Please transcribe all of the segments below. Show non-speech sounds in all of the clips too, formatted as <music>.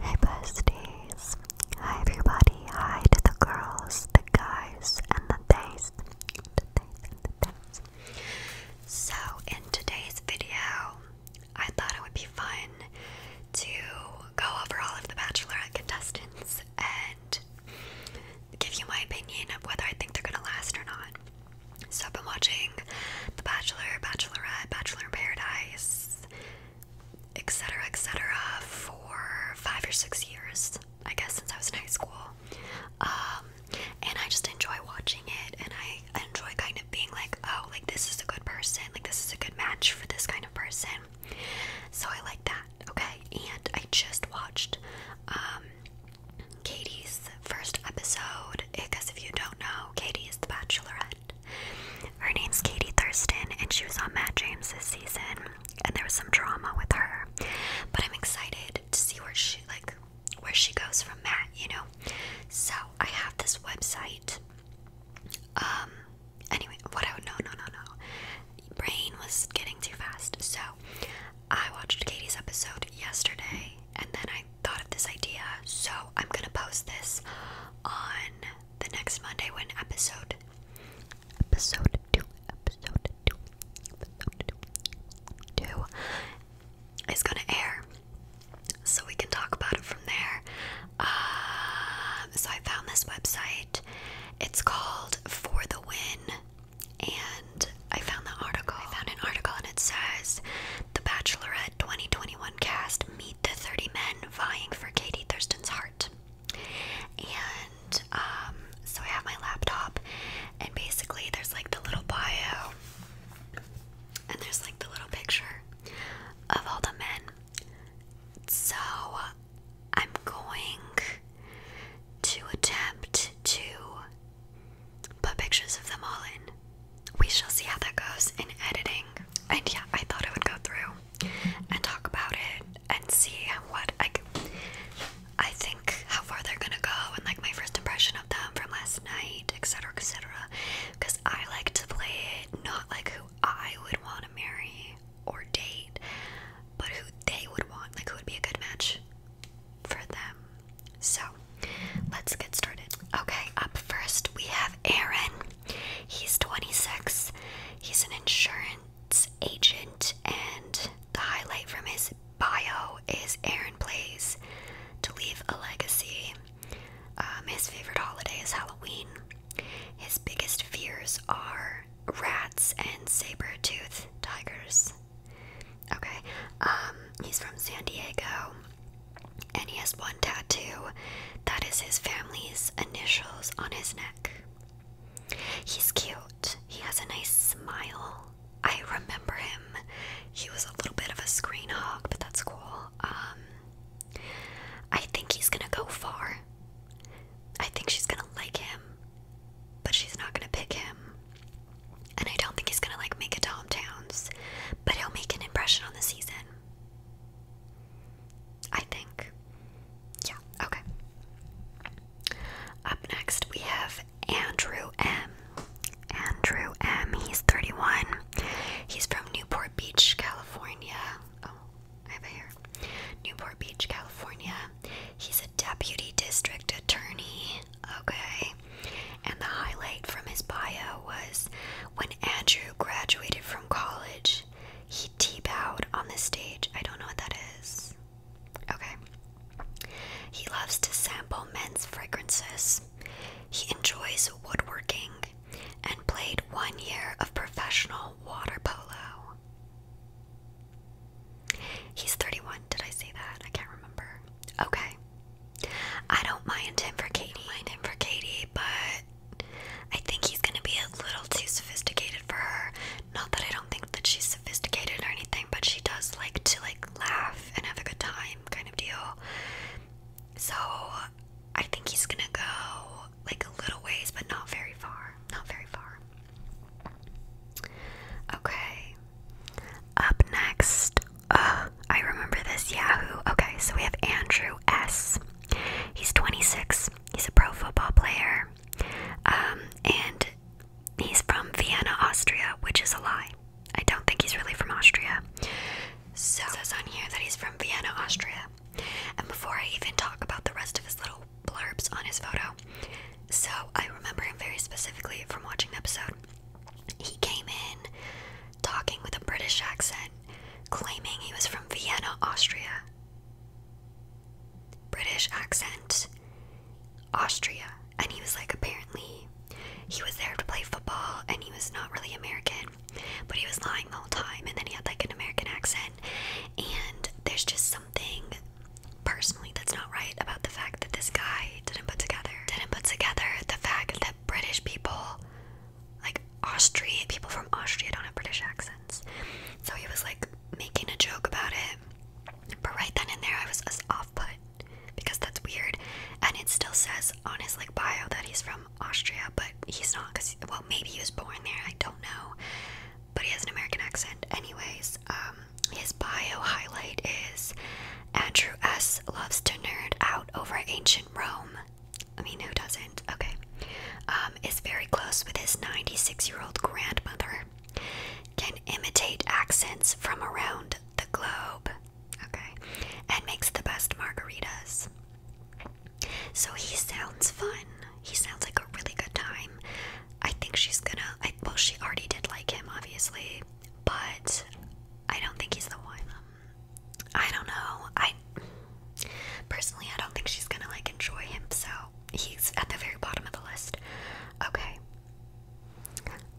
Hey besties! Hi everybody! Hi to the girls, the guys, and the days. So in today's video, I thought it would be fun to go over all of the Bachelorette contestants and give you my opinion of whether I think they're gonna last or not. So I've been watching The Bachelor, Bachelorette, Bachelor in Paradise, etc., etc., for five or six years, I guess, since I was in high school. Um, and I just enjoy watching it, and I enjoy kind of being like, oh, like this is a good person, like this is a good match for this kind of person. So I like that, okay? And I just watched um, Katie's first episode, because if you don't know, Katie is the bachelorette. Her name's Katie Thurston, and she was on Matt James this season, and there was some drama with her. But I'm excited to see where she like where she goes from Matt, you know. So I have this website. Um. Anyway, what I would no no no no. Brain was getting too fast, so I watched Katie's episode yesterday, and then I thought of this idea, so I'm gonna post this on the next Monday when episode episode two episode two episode two, is gonna air. So we can talk about it from there. Um, so I found this website. It's called For the Win, and I found the article. I found an article, and it says the Bachelorette 2021 cast meet the 30 men vying for Katie Thurston's heart. And um, so I have my laptop, and basically there's like the little bio, and there's like the little picture of all the men. So I'm going to attempt to put pictures of them all in we shall see how that goes in editing. And yeah, I thought I would go through and talk about it and see what I, I think how far they're gonna go and like my first impression of them from last night, etc., etc. Because I like to play it not like who I would want to marry or date, but who they would want, like who would be a good match for them. So let's get started. Okay, up first we have Aaron. He's 26. He's an insurance agent, and the highlight from his bio is Aaron plays to leave a legacy. Um, his favorite holiday is Halloween. His biggest fears are rats and saber-toothed tigers. Okay, um, he's from San Diego and he has one tattoo that is his family's initials on his neck. He's cute. He has a nice smile. I remember him. He was a little bit of a screen hog, but that's cool. Um I think he's going to go far. I think she's going to like him, but she's not going to pick him. And I don't think he's going to like make a Tom Towns, but he'll make an impression on the season. I think. Yeah, okay. Up next, we have Andrew M. Andrew M. He's 31. He's from Newport Beach, California. Oh, I have a hair. Newport Beach, California. He's a deputy district attorney. Okay. And the highlight from his bio was when Andrew graduated from college, he T-bowed on the stage. I don't know what that is. Okay. He loves to sample men's fragrances. He enjoys woodworking and played one year of professional water polo. He's 31. Did I say that? I can't remember. Okay. I don't mind him for Katie. I mind him for Katie, but I think he's gonna be a little too sophisticated for her. Not that I don't think that she's sophisticated or anything, but she does like to like laugh and have a good time kind of deal. So I think he's gonna go like a little ways, but not very far. Not very far. Okay. Up next, uh, I remember this Yahoo. Okay, so we have Andrew S. He's 26. He's a pro football player. Um, and he's from Vienna, Austria, which is a lie. I don't think he's really from Austria. So it says on here that he's from Vienna, Austria. And before I even talk about the rest of his little blurbs on his photo, so I remember him very specifically from watching the episode. He came in talking with a British accent, claiming he was from Vienna, Austria. British accent, Austria. And he was like, apparently, he was there to play football and he was not really American, but he was lying the whole time. And then he had like an American accent. And there's just something personally that's not right about the fact that this guy didn't put together, didn't put together the fact that British people like Austria, people from Austria don't have British accents. So he was like making a joke about it. But right then and there, I was off put because that's weird. And it still says on his like bio that he's from Austria, but he's not because, well, maybe he was born there. I don't know. But he has an American accent. Anyways, um, his bio highlight is Andrew S. loves to nerd out over ancient Rome. I mean, who doesn't? Okay. Um, is very close with his 96 year old grandmother. Can imitate accents from around the globe. Okay. And makes the best margaritas. So he sounds fun. He sounds like a really good time. I think she's gonna. I, well, she already did like him, obviously. But I don't think he's the one. I don't know. I personally, I don't think she's gonna like enjoy him, so he's at the very bottom of the list. Okay.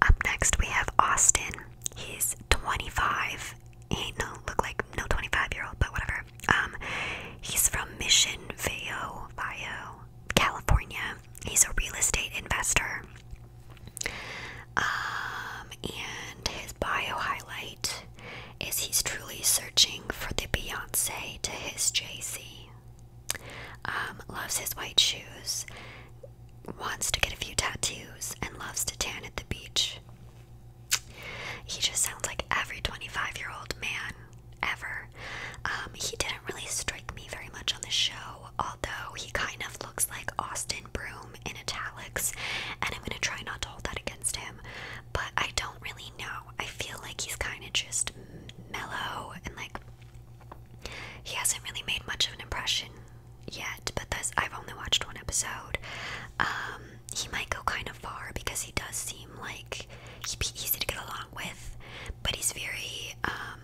Up next, we have Austin. He's 25. ain't no look like no 25 year old, but whatever. Um, he's from Mission Viejo, California. He's a real estate investor. Um, and his bio highlight is he's truly searching for the Beyonce to his J C. Um, loves his white shoes, wants to get a few tattoos, and loves to tan at the beach. He just sounds like every 25 year old man ever. Um, he didn't really strike me very much on the show, although he kind of looks like Austin broom in italics, and I'm gonna try not to hold that against him. But I don't really know. I feel like he's kind of just mellow and like he hasn't really made much of an impression yet. But this, I've only watched one episode. Um, he might go kind of far because he does seem like he'd be easy to get along with, but he's very um,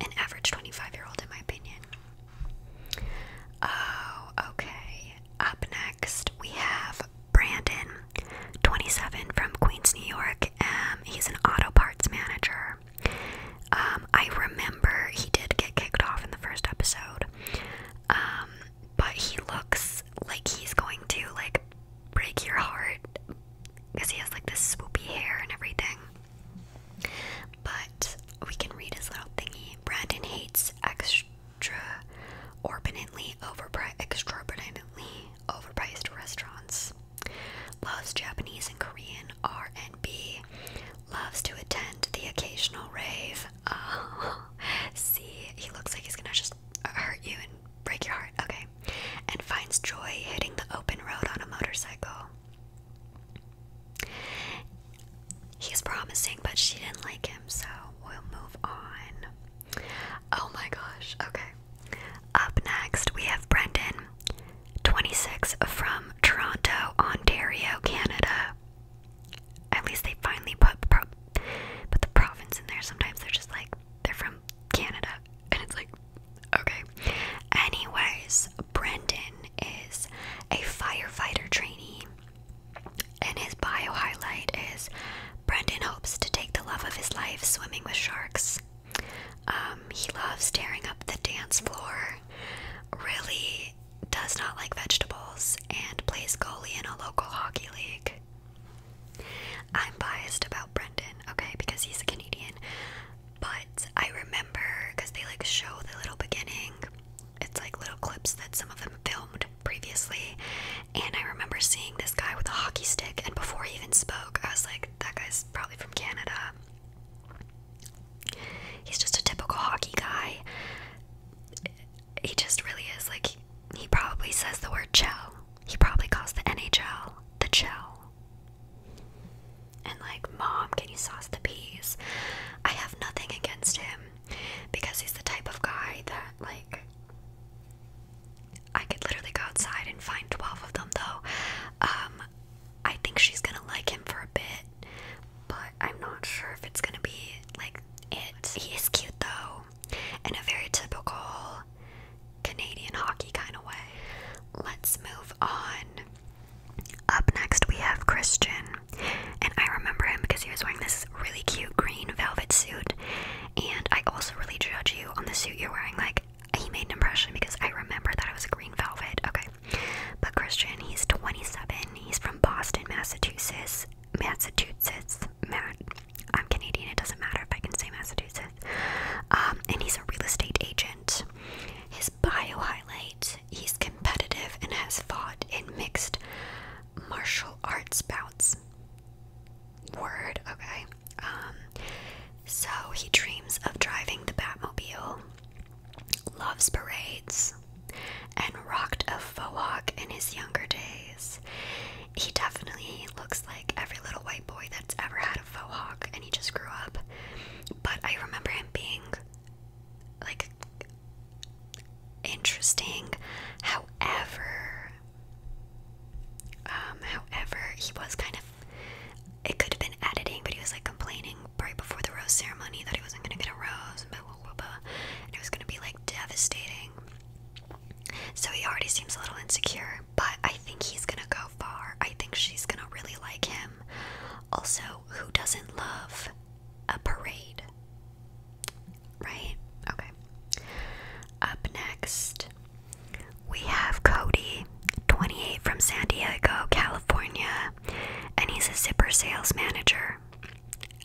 an average 25 year old in my opinion. Oh, okay. Up next, we have Brandon, 27 from Queens, New York. Um, he's an auto parts manager. Um, I remember he did get kicked off in the first episode. Um, but he looks like he's going to like break your heart because he has like this swoopy hair and everything but we can read his little thingy. Brandon hates extraorbitantly overpriced, extraordinarily overpriced restaurants. Loves Japanese and Korean R and B. Loves to attend the occasional rave. <laughs> see, he looks like he's gonna just hurt you and break your heart. Okay, and finds joy hitting the open road on a motorcycle. He's promising, but she didn't like him, so we'll move on. Oh my gosh, okay. Up next, we have Brendan, 26, from Toronto, Ontario, Canada. At least they finally put, put the province in there. Sometimes they're just like, they're from Canada, and it's like, okay. Anyways, Brendan is a firefighter trainee and his bio highlight is Brendan hopes to take the love of his life swimming with sharks. Um, he loves tearing up the dance floor, really does not like vegetables, and plays goalie in a local hockey league. I'm biased about Brendan, okay, because he's a Canadian. But I remember because they like show the little beginning it's like little clips that some of them filmed previously. And I remember seeing this guy with a hockey stick, and before he even spoke, I was like, that guy's probably from Canada. He's just a typical hockey guy. He just really is. Like, he probably says the word chell. He probably calls the NHL the chell. And, like, mom, can you sauce the peas? I have nothing against him because he's the type of guy that like I could literally go outside and find 12 of them though. Um, I think she's going to like him for a bit, but I'm not sure if it's going to be like it. He is cute though, in a very typical Canadian hockey kind of way. Let's move on up next, we have Christian. And I remember him because he was wearing this really cute green velvet suit. And I also really judge you on the suit you're wearing. Like, he made an impression because I remember that it was a green velvet. Okay. But Christian, he's 27. He's from Boston, Massachusetts. Massachusetts. Matt. I'm Canadian. It doesn't matter if I can say Massachusetts. Um, and he's a real estate agent. His bio highlight He's competitive and has fought in mixed martial arts bouts. Word, okay. Um, so he dreams of driving the Batmobile, loves parades, and rocked a faux in his younger days. He definitely looks like every little white boy that's ever had a faux and he just grew up. But I remember him being like interesting. However, um, however, he was kind of. It could have been editing, but he was like complaining right before the rose ceremony that he wasn't gonna get a rose, and it was gonna be like devastating. So he already seems a little insecure, but I think he's gonna go far. I think she's gonna really like him. Also, who doesn't love a parade. Right? Okay. Up next, we have Cody, 28 from San Diego, California, and he's a zipper sales manager.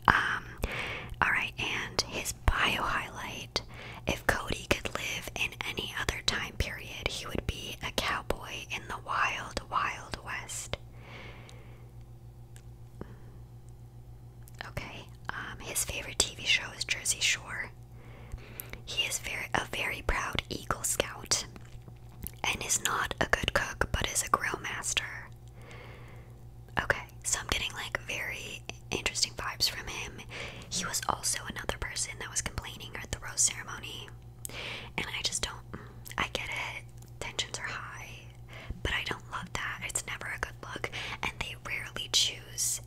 Um, alright, and his bio highlight if Cody could live in any other time period, he would be a cowboy in the wild, wild west. Okay. Um, his favorite TV show is Jersey Shore. He is very a very proud Eagle Scout, and is not a good cook, but is a grill master. Okay, so I'm getting like very interesting vibes from him. He was also another person that was complaining at the rose ceremony, and I just don't. I get it. Tensions are high. But I don't love that. It's never a good look. And they rarely choose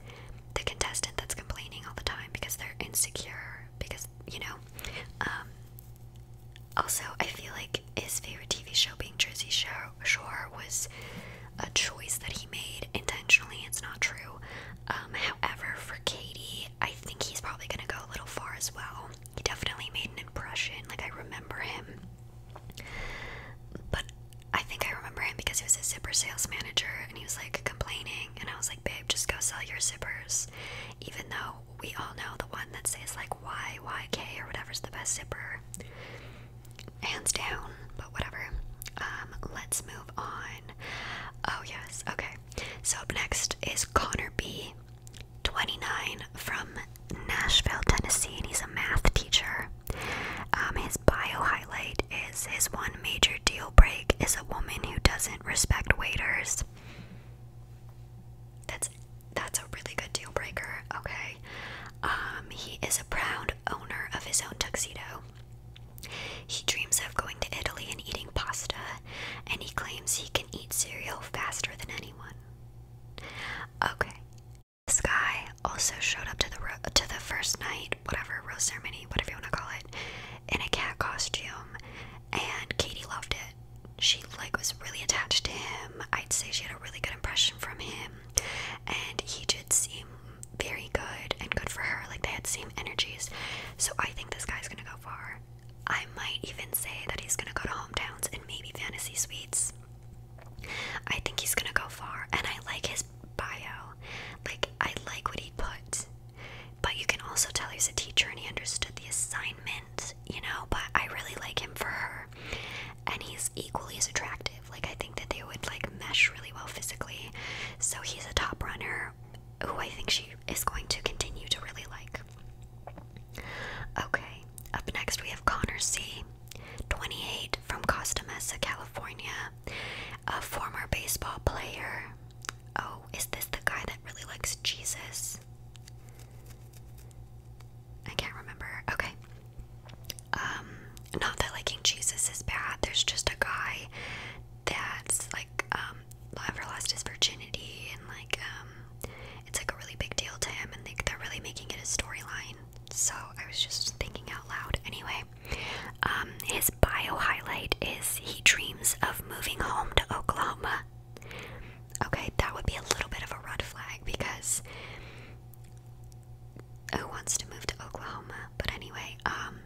the contestant that's complaining all the time because they're insecure. Because, you know. Um, also, I feel like his favorite TV show being Jersey Shore was a choice that he made intentionally. It's not true. Um, however, for Katie, I think he's probably gonna go a little far as well. He definitely made an impression. Like, I remember him but I think I remember him because he was a zipper sales manager and he was like complaining. And I was like, babe, just go sell your zippers. Even though we all know the one that says like Y Y K or whatever's the best zipper. Hands down, but whatever. Um, let's move on. Oh, yes. Okay. So up next is Connor B. 29 from Nashville, Tennessee, and he's a math teacher. Um, his bio highlight is his one major deal break is a woman who doesn't respect waiters. That's that's a really good deal breaker. Okay, um, he is a proud owner of his own tuxedo. He dreams of going to Italy and eating pasta, and he claims he can eat cereal faster than anyone. Okay. This guy also showed up to the to the first night, whatever rose ceremony, whatever you want to call it, in a cat costume, and Katie loved it. She like was really attached to him. I'd say she had a really good impression from him, and he did seem very good and good for her. Like they had same energies. So I think this guy's gonna go far. I might even say that he's gonna go to hometowns and maybe fantasy suites. I think he's gonna go far, and I like his bio. Like, I like what he put. But you can also tell he's a teacher and he understood the assignment, you know. But I really like him for her, and he's equally as attractive. Like, I think that they would like mesh really well physically. So, he's a top runner who I think she is going to continue to really like. Okay, up next we have Connor C, 28, from Costa Mesa, California, a former baseball player. Oh, is this the guy that really likes Jesus? I can't remember. Okay. Um, not that liking Jesus is bad. There's just a guy that's like um ever lost his virginity and like um it's like a really big deal to him, and they, are really making it a storyline. So I was just thinking out loud. Anyway, um, his bio highlight is he dreams of moving home to Oklahoma. Okay, that would be a little bit of a red flag because who wants to move to Oklahoma? But anyway, um,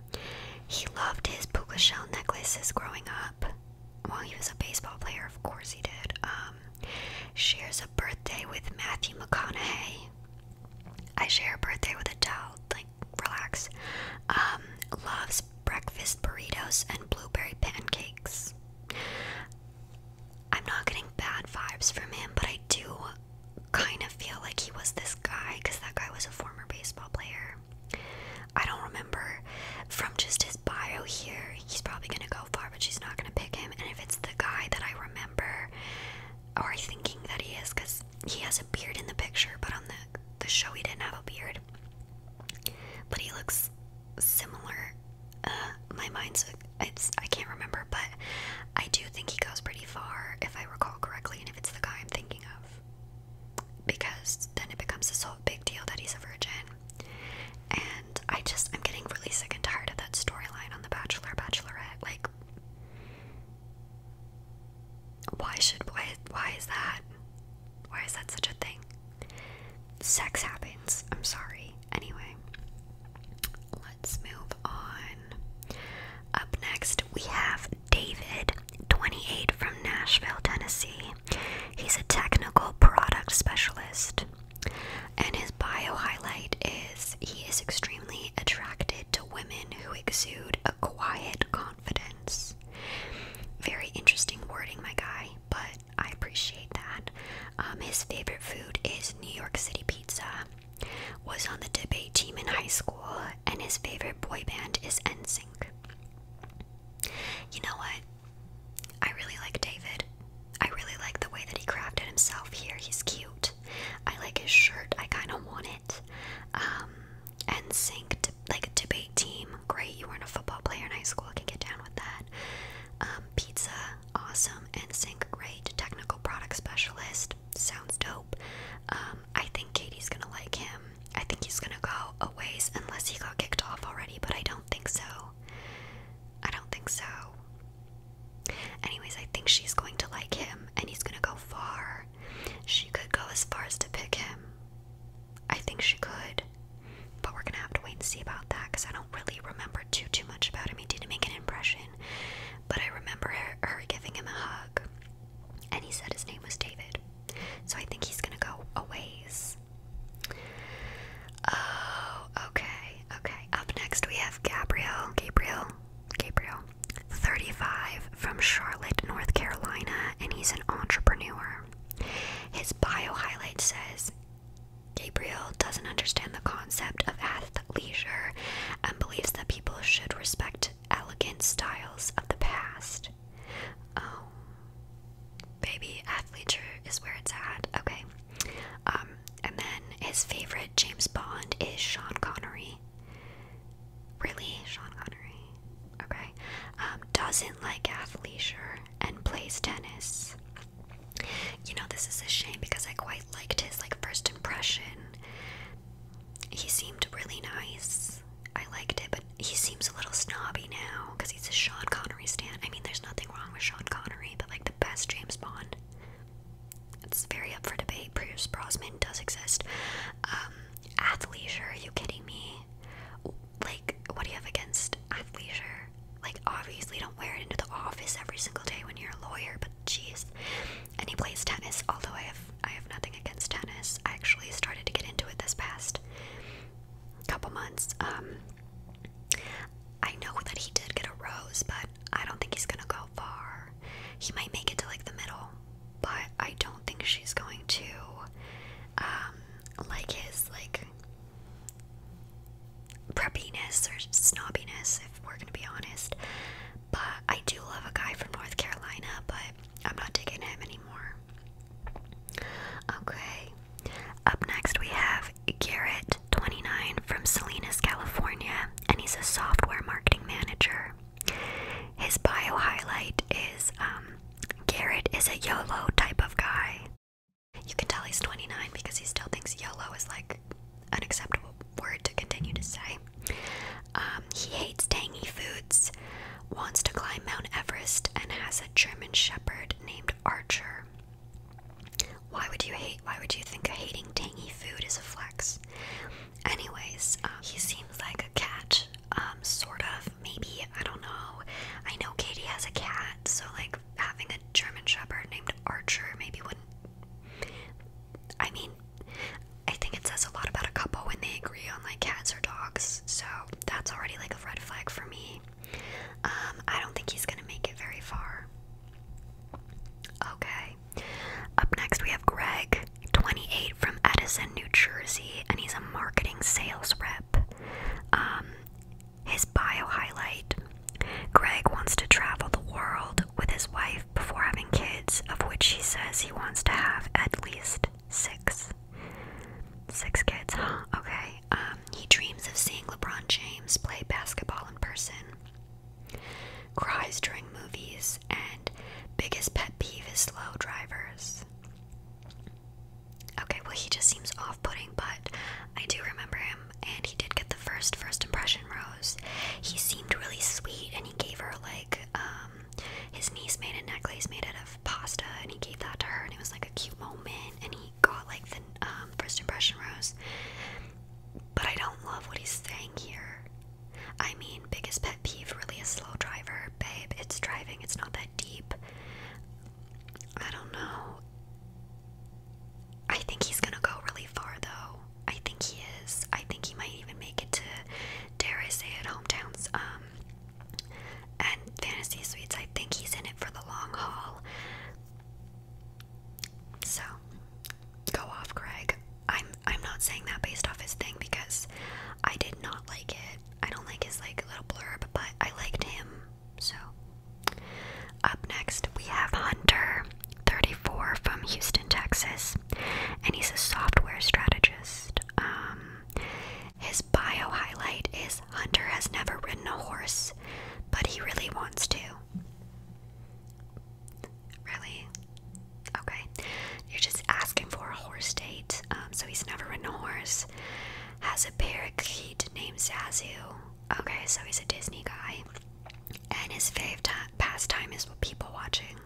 he loved his puka shell necklaces growing up. Well, he was a baseball player, of course he did. Um, Shares a birthday with Matthew McConaughey. I share a birthday with a Adele. Like, relax. Um, loves breakfast burritos and blueberry pancakes. I'm not getting bad vibes from him, but I do kind of feel like he was this guy because that guy was a former baseball player. I don't remember from just bio here, he's probably gonna go far, but she's not gonna pick him. And if it's the guy that I remember, or thinking that he is, because he has a beard in the picture, but on the the show he didn't have a beard. But he looks similar. Uh, my mind's it's I can't remember, but I do think he goes pretty far, if I recall correctly, and if it's the guy I'm thinking of, because then it becomes this whole big deal that he's a virgin, and I just, I'm getting really sick and tired of that storyline on The Bachelor, Bachelorette. Like, why should, why, why is that? Why is that such a thing? Sex happens. I'm sorry. Anyway, let's move on. Up next, we have David, 28 from Nashville, Tennessee. He's a technical product specialist. And his bio highlight is he is extremely attracted to women who exude a quiet confidence. Very interesting wording, my guy, but I appreciate that. Um, his favorite food is New York City pizza. Was on the debate team in high school, and his favorite boy band is NSYNC. You know what? I really like David. I really like the way that he crafted himself here. He's cute. I like his shirt. I kind of want it. Um, and sync to, like debate team. Great, you weren't a football player in high school. I can get down with that. Um, pizza, awesome. And sync, great. Technical product specialist, sounds dope. Um, I think Katie's gonna like him. I think he's gonna go a ways unless he got kicked off already, but I don't think so. I don't think so. Anyways, I think she's going to like him and he's gonna go far. She could go as far as to pick him. I think she could. But we're gonna have to wait and see about that because I don't really remember too too much about him. He didn't make an impression. But I remember her, giving him a hug. And he said his name was David. So I think he's gonna go a ways. Oh, okay. Okay, up next we have Gabriel. Gabriel. Gabriel. 35 from Charlotte, North Carolina, and he's an entrepreneur. His bio highlight says Gabriel doesn't understand the concept of athleisure and believes that people should respect elegant styles of the past. Oh, baby, athleisure is where it's at. Okay. Um, and then his favorite James Bond is Sean Connery. Really? Sean Connery? Okay. Um, doesn't like athleisure and plays tennis. You know, this is a shame because I quite liked his like first impression. He seemed really nice. I liked it, but he seems a little snobby now because he's a Sean Connery stan. I mean, there's nothing wrong with Sean Connery, but like the best James Bond it's very up for debate. Pierce Brosnan does exist. Um, athleisure, are you kidding me? Like, what do you have against athleisure? Like, obviously, don't wear it into the office every single day when you're a lawyer, but jeez. And he plays tennis, although I have, I have nothing against tennis. I actually started to get into it this past couple months. Um, I know that he did get a rose, but I don't think he's gonna go far. He might make it to like the middle, but I don't think she's going to um, like his like preppiness or snobbiness if we're gonna be honest. But I do love a guy from North Carolina, but I'm not digging him anymore. Okay. Up next, we have Garrett29 from Salinas, California, and he's a software marketing manager. His bio highlight is um, Garrett is a YOLO type of guy. You can tell he's 29 because he still thinks YOLO is like an acceptable word to continue to say. Um, he hates tangy foods, wants to climb Mount Everest, and has a German Shepherd named Archer. Why would you hate? Why would you think hating tangy food is a flex? Anyways, uh, he seems like a cat, um, sort of. Maybe I don't know. I know Katie has a cat, so like having a German Shepherd named Archer maybe wouldn't. I mean, I think it says a lot about a couple when they agree on like cats or dogs. So that's already like a red flag for me. Um, I don't think he's gonna make it very far. Okay. Up next, we have Greg, 28, from Edison, New Jersey, and he's a marketing sales rep. Um, his bio highlight Greg wants to travel the world with his wife before having kids, of which he says he wants to have at least six. Six kids, huh? Okay. Um, he dreams of seeing LeBron James play basketball in person. Cries during movies, and biggest pet peeve is slow drivers. Okay, well, he just seems off putting, but I do remember him, and he did get the first first impression rose. He seemed really sweet, and he gave her like, um, his niece made a necklace made out of pasta, and he gave that to her, and it was like a cute moment, and he got like the um, first impression rose. But I don't love what he's saying here. I mean, biggest pet peeve really a slow driver. Babe, it's driving, it's not that deep. I don't know. I think he's gonna go really far though. I think he is. I think he might even make it to, dare I say it, hometowns. Um, and fantasy suites. I think he's in it for the long haul. So, go off, Greg. I'm I'm not saying that based off his thing because I did not like it. I don't like his like little blurb, but I liked him. So, up next we have Hunter, 34 from Houston, Texas, and he's a software strategist. Um, his bio highlight is Hunter has never ridden a horse, but he really wants to. Really? Okay. You're just asking for a horse date. Um, so he's never ridden a horse. Has a parakeet named Zazu. Okay, so he's a Disney guy. And his favorite pastime is people watching.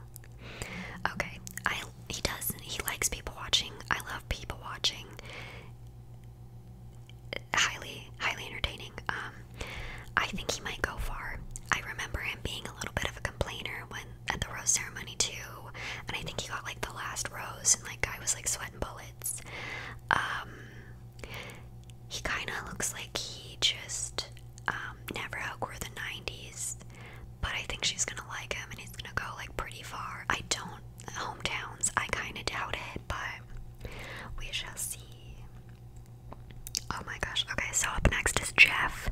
Okay, I he does he likes people watching. I love people watching highly, highly entertaining. Um, I think he might go far. I remember him being a little bit of a complainer when at the rose ceremony too, and I think he got like the last rose, and like guy was like sweating bullets. Um, he kind of looks like he just um, never outgrew the '90s, but I think she's gonna like him, and he's gonna go like pretty far. I don't hometowns. I kind of doubt it, but we shall see. Oh my gosh. Okay, so up next is Jeff,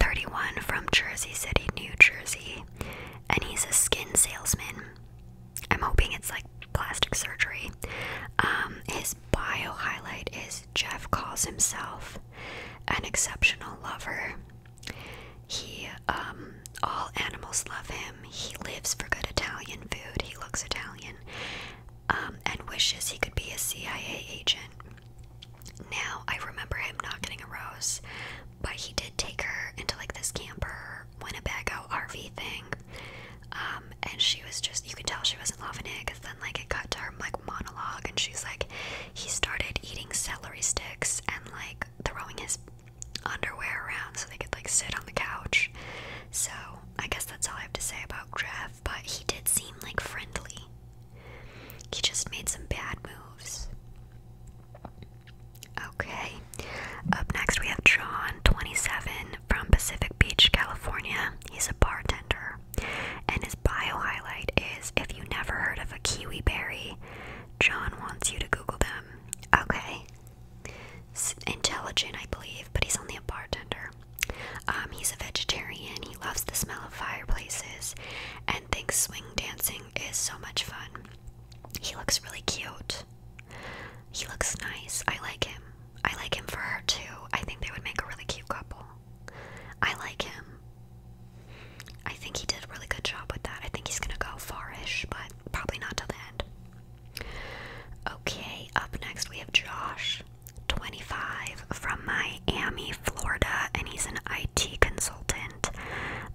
31 from Jersey City, New Jersey, and he's a skin salesman. I'm hoping it's like plastic surgery. Um, his bio highlight is Jeff calls himself an exceptional lover. He, um, all animals love him. He lives for good Italian food. He looks Italian. Um, and wishes he could be a CIA agent. Now, I remember him not getting a rose, but he did take her into like this camper Winnebago RV thing. Um, and she was just, you could tell she wasn't loving it because then like it cut to her like monologue and she's like, he started eating celery sticks and like throwing his underwear around so they could like sit on the couch. So I guess that's all I have to say about Grev, but he did seem like friendly. He just made some bad moves. Okay. Up next we have John, 27, from Pacific Beach, California. He's a bartender. And his bio highlight is if you never heard of a kiwi berry, John wants you to Google them. Okay. intelligent, I believe, but he's only a bartender. Um, he's a vegetarian, he loves the smell of fireplaces, and thinks swing dancing is so much fun. He looks really cute. He looks nice. I like him. I like him for her too. I think they would make a really cute couple. I like him. I think he did a really good job with that. I think he's gonna go farish, but probably not till the end. Okay, up next we have Josh, 25, from Miami, Florida, and he's an IT consultant.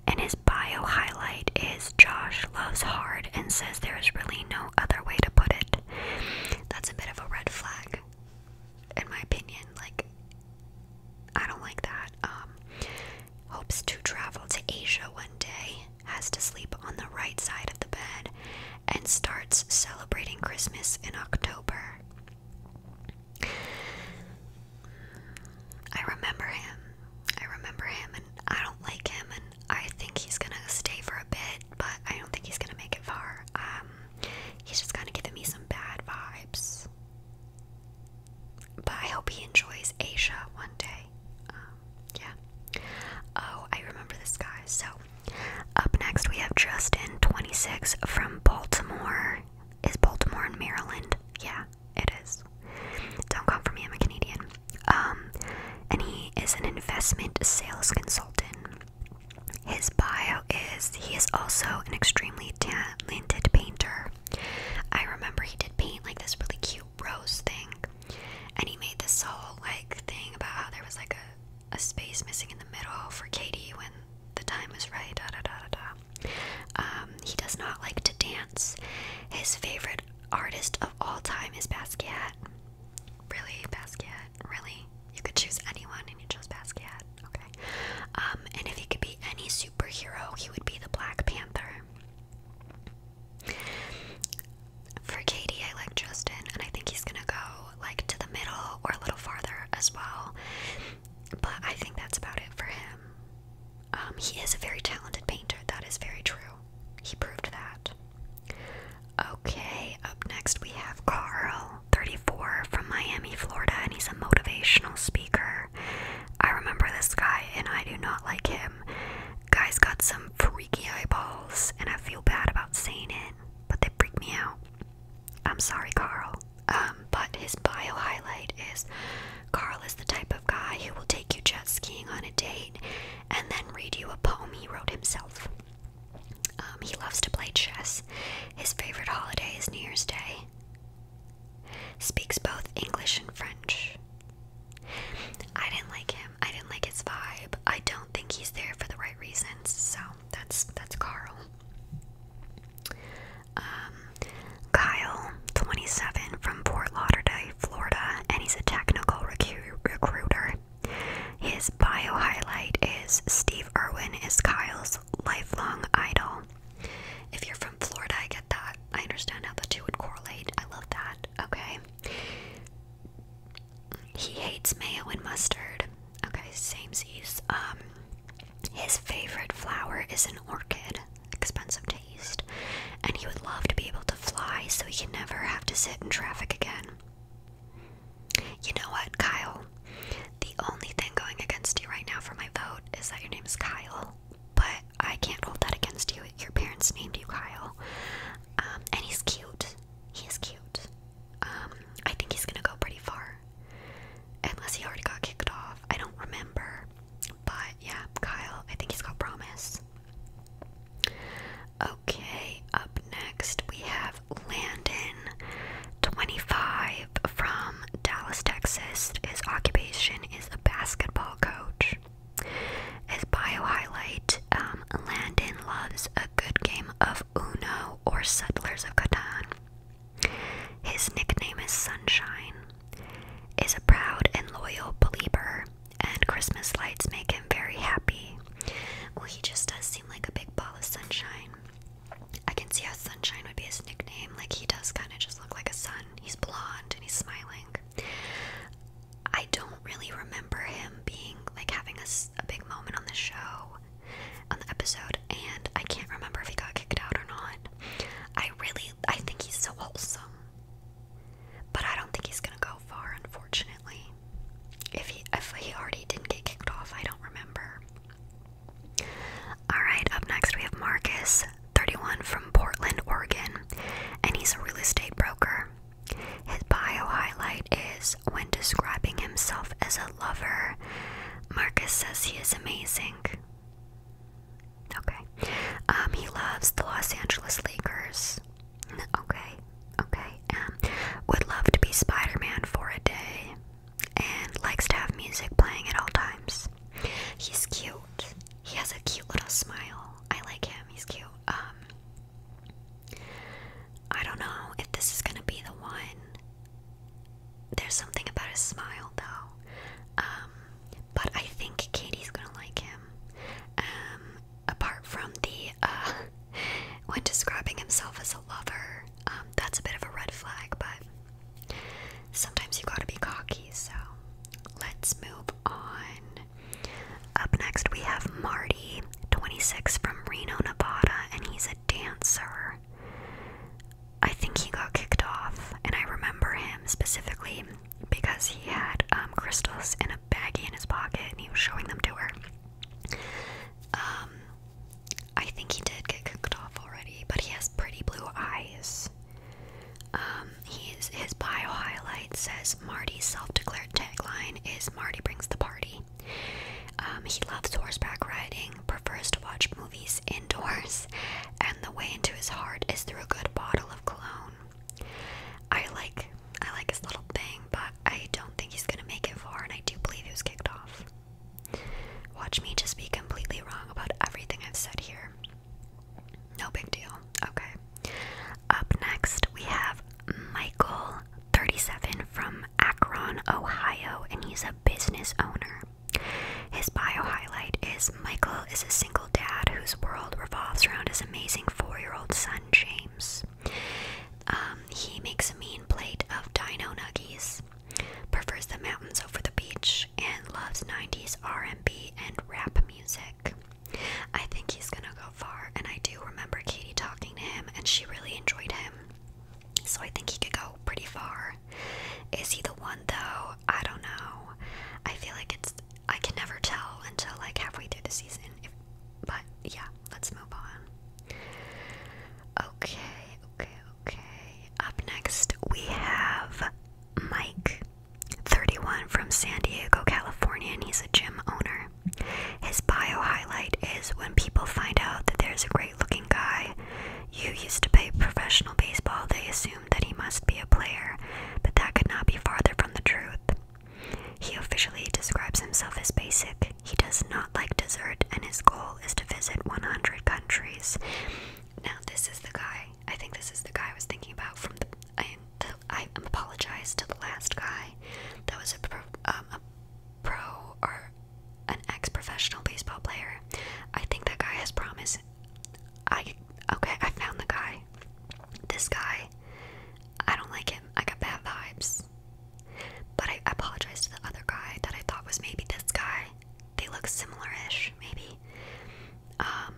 And his bio highlight is Josh loves hard and says there is really no other way to put it. That's a bit of a red flag, in my opinion. Like, I don't like that. Um, hopes to travel to Asia one day has to sleep on the right side of the bed and starts celebrating Christmas in October. I remember him. I remember him, and I don't like him, and I think he's gonna stay for a bit, but I don't think he's gonna make it far. Um, he's just kind of giving me some bad vibes. But I hope he enjoys Asia one day. Um, yeah. Oh, I remember this guy. So, up next we have Justin, 26, from Baltimore. Is Baltimore in Maryland? Yeah, it is. Don't come for me, I'm a Canadian. Um, and he is an investment sales consultant. His bio is he is also an extremely talented painter. I remember he did paint like this really cute rose thing, and he made this whole like thing about how there was like a a space missing in the middle for Katie when the time is right. Da, da, da, da, da. Um, he does not like to dance. His favorite artist of all time is Basquiat. Really, Basquiat? Really? You could choose anyone and you chose Basquiat. Okay. Um, and if he could be any superhero, he would be the Black Panther. For Katie, I like Justin, and I think he's gonna go like to the middle or a little farther as well. But I think that's about it for him. Um, he is a very talented painter, that is very true. He proved that. Okay, up next we have Carl, 34, from Miami, Florida, and he's a motivational speaker. I remember this guy, and I do not like him. Guy's got some freaky eyeballs, and I feel bad about saying it but they freak me out. I'm sorry, Carl. Um, but his bio highlight is Carl is the type of guy who will take you jet skiing on a date and then read you a poem he wrote himself. Um, he loves to play chess. His favorite holiday is New Year's Day. Speaks both English and French. I didn't like him. I didn't like his vibe. I don't think he's there for the right reasons. So that's that's Carl. Um, Kyle, 27, from Fort Lauderdale, Florida, and he's a technical recruiter. His bio highlight is Steve Irwin is Kyle's lifelong idol. If you're from Florida, I get that. I understand how the two would correlate. I love that. Okay. He hates mayo and mustard. Okay, same as Um, his favorite flower is an orchid. Expensive taste. And he would love to be able to fly so he can never have to sit in traffic again. You know what, Kyle? The only thing going against you right now for my vote is that your name is Kyle. But I can't hold that against you. Your parents named you Kyle. Um, and he's cute. He is cute. Um, I think he's gonna go pretty far. Unless he already got kicked off. I don't remember. But yeah, Kyle, I think he's got promise. Okay, up next we have Landon, 25, from Dallas, Texas. His occupation is a basketball coach. His bio highlight um, Landon loves a good game of Uno or Settlers of Katan. His nickname is Sunshine, is a proud and loyal believer, and Christmas lights make him very happy. Well, he just does seem like a big ball of sunshine. I can see how Sunshine would be his nickname. Like, he does kind of just look like a sun. He's blonde and he's smiling. I don't do really remember him being like having a big moment on the show, on the episode, and I can't remember if he got kicked out or not. I really, I think he's so wholesome, but I don't think he's gonna go far, unfortunately. If he, if he already didn't get kicked off, I don't remember. All right, up next we have Marcus, 31 from Portland, Oregon, and he's a real estate broker. His bio highlight is when describing himself as a lover, Marcus says he is amazing. Okay. Um, he loves the Los Angeles Lakers. Okay. Okay. Um, would love to be Spider Man for a day and likes to have music playing at all times. He's cute. He has a cute little smile. I like him. He's cute. Um, I don't know if this is gonna be the one. There's something about his smile though. Um, but I think Katie's gonna like him. Um, apart from the uh, <laughs> when describing himself as a lover, um, that's a bit of a red flag, but sometimes you gotta be cocky, so let's move on. Up next, we have Marty. 26 from Reno, Nevada, and he's a dancer. I think he got kicked off, and I remember him specifically because he had um, crystals in a baggie in his pocket and he was showing them to her. Um, I think he did get kicked off already, but he has pretty blue eyes. Um, he's, his bio highlight says Marty's self declared tagline is Marty brings the party. Um, he loves horseback riding, prefers to watch movies indoors, and the way into his heart is through a good bottle of cologne. I like I like his little thing, but I don't think he's gonna make it far, and I do believe he was kicked off. Watch me just be completely wrong about everything I've said here. No big deal. Okay. Up next, we have Michael37 from Akron, Ohio, and he's a business owner. His bio highlight is Michael is a single dad whose world revolves around his amazing four year old son, James. Um, he makes a mean plate of dino nuggies, prefers the mountains over the beach, and loves 90s R&B and rap music. I think he's gonna go far, and I do remember Katie talking to him, and she really enjoyed him. So I think he could go pretty far. Is he the one though? I don't know. I feel like it's I can never tell until like halfway through the season. but yeah, let's move on. Okay, okay, okay. Up next we have Mike, 31 from San Diego, California, and he's a gym owner. His bio highlight is when people find out that there's a great looking guy you used to play professional baseball, they assume that he must be a player, but that could not be farther from the truth. He officially describes himself as basic. He does not like dessert, and his goal is to visit 100 countries. Now, this is the guy. I think this is the guy I was thinking about from the. I, the, apologize to the last guy. That was a um, pro or an ex-professional baseball player. I think that guy has promise. I okay, I found the guy. This guy, I don't like him. I got bad vibes. But I apologize to the other guy that I thought was maybe this guy. They look similar-ish, maybe. Um,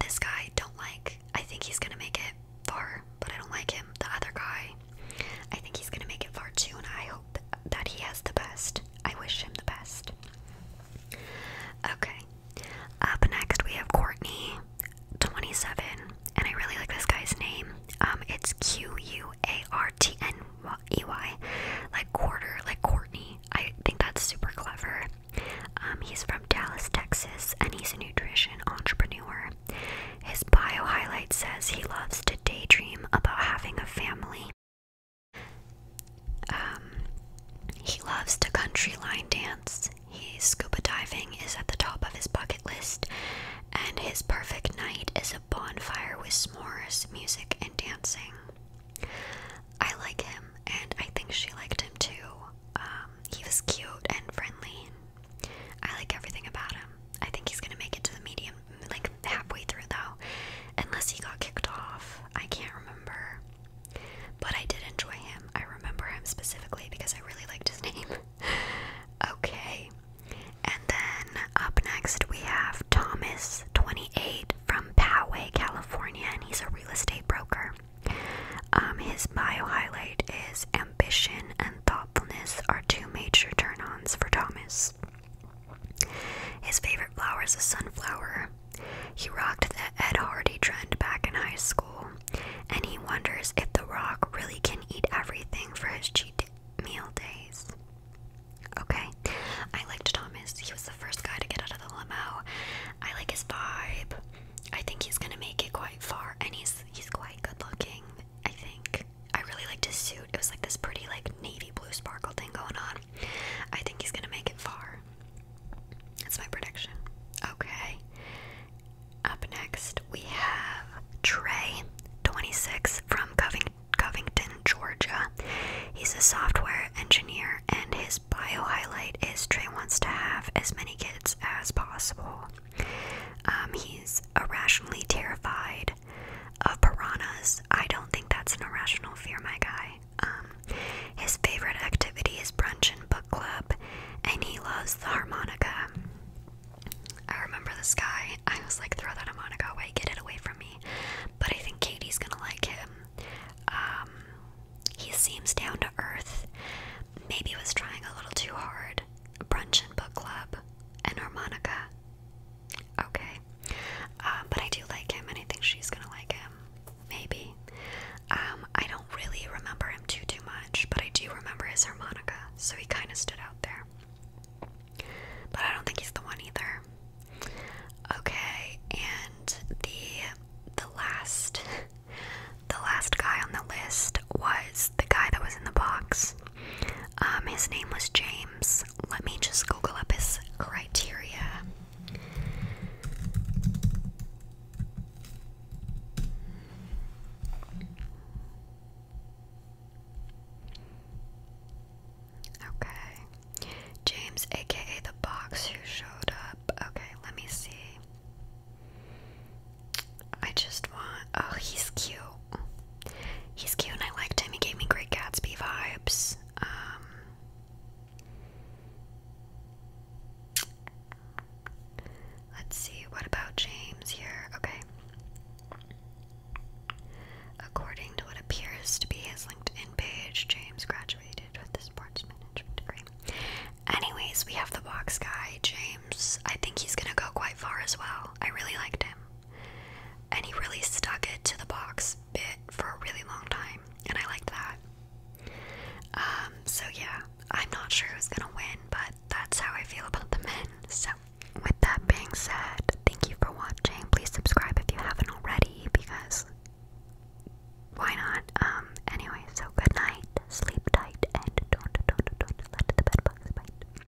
this guy don't like. I think he's gonna make it far, but I don't like him. The other guy, I think he's gonna make it far too, and I hope that he has the best. I wish him the best. Okay, up next we have Courtney, 27, and I really like this guy's name. Um, it's Q U A R T N E Y, like quarter, like Courtney. I think that's super clever. Um, he's from Dallas, Texas, and he's a nutrition entrepreneur. His bio highlight says he loves to daydream about having a family. Um, he loves to country line dance. He's scuba diving is at the top of his bucket list, and his perfect night is a bonfire with s'mores, music, and dancing. I like him, and I think she liked him too. Um, he was cute and friendly. I like everything about him. I think he's gonna make it to the medium, like halfway through though, unless he got kicked off. I can't remember. But I did enjoy him. I remember him specifically because I really liked his <laughs> name. okay. And then up next we have Thomas28 from Poway, California, and he's a real estate broker. Um, his bio highlight is ambition and thought are two major turn ons for Thomas. His favorite flower is a sunflower. He rocked the Ed Hardy trend back in high school, and he wonders if The Rock really can eat everything for his cheat meal days. Okay, I liked Thomas. He was the first guy to get out of the limo. I like his vibe. I think he's gonna make it quite far, and he's he's quite good looking. I think. I really liked his suit. It was like this pretty like navy blue sparkle thing going on. I think he's gonna make it far. That's my prediction. Okay. Up next we have Trey, 26, from Covington, Georgia. He's a software engineer, and his bio highlight is Trey wants to have as many kids as possible. Um, he's irrationally terrified of piranhas. I don't think that's an irrational fear, my guy. Um, his favorite activity is brunch and book club, and he loves the harmonica. I remember this guy. I was like, throw that harmonica away, get it away from me. But I think Katie's gonna like him. Um, he seems down to earth. Maybe he was trying a little too hard. Brunch and book club and harmonica. Okay. Uh, but I do like him, and I think she's gonna like him. Maybe. Um, I don't really remember him too too much, but I do remember his harmonica, so he kind of stood out there. But I don't think he's the one either. Okay, and the the last <laughs> the last guy on the list was the guy that was in the box. Um, his name was James. Let me just Google up his criteria. Okay. James, aka the box who showed up. Okay, let me see. I just want. Oh, he's cute. He's cute and I liked him. He gave me great Gatsby vibes. Um, let's see, what about James here? Okay. According to what appears to be his LinkedIn page, James graduated with the sports management degree. Anyways, we have the box guy, James. I think he's gonna go quite far as well. I really liked him. And he really stuck it to the box bit for a really long time, and I liked that. Um, so yeah, I'm not sure who's gonna win, but that's how I feel about the men. So, with that being said, thank you for watching. Please subscribe if you haven't already, because why not? Um, anyway, so good night, sleep tight, and don't, don't, don't let the bed bugs bite.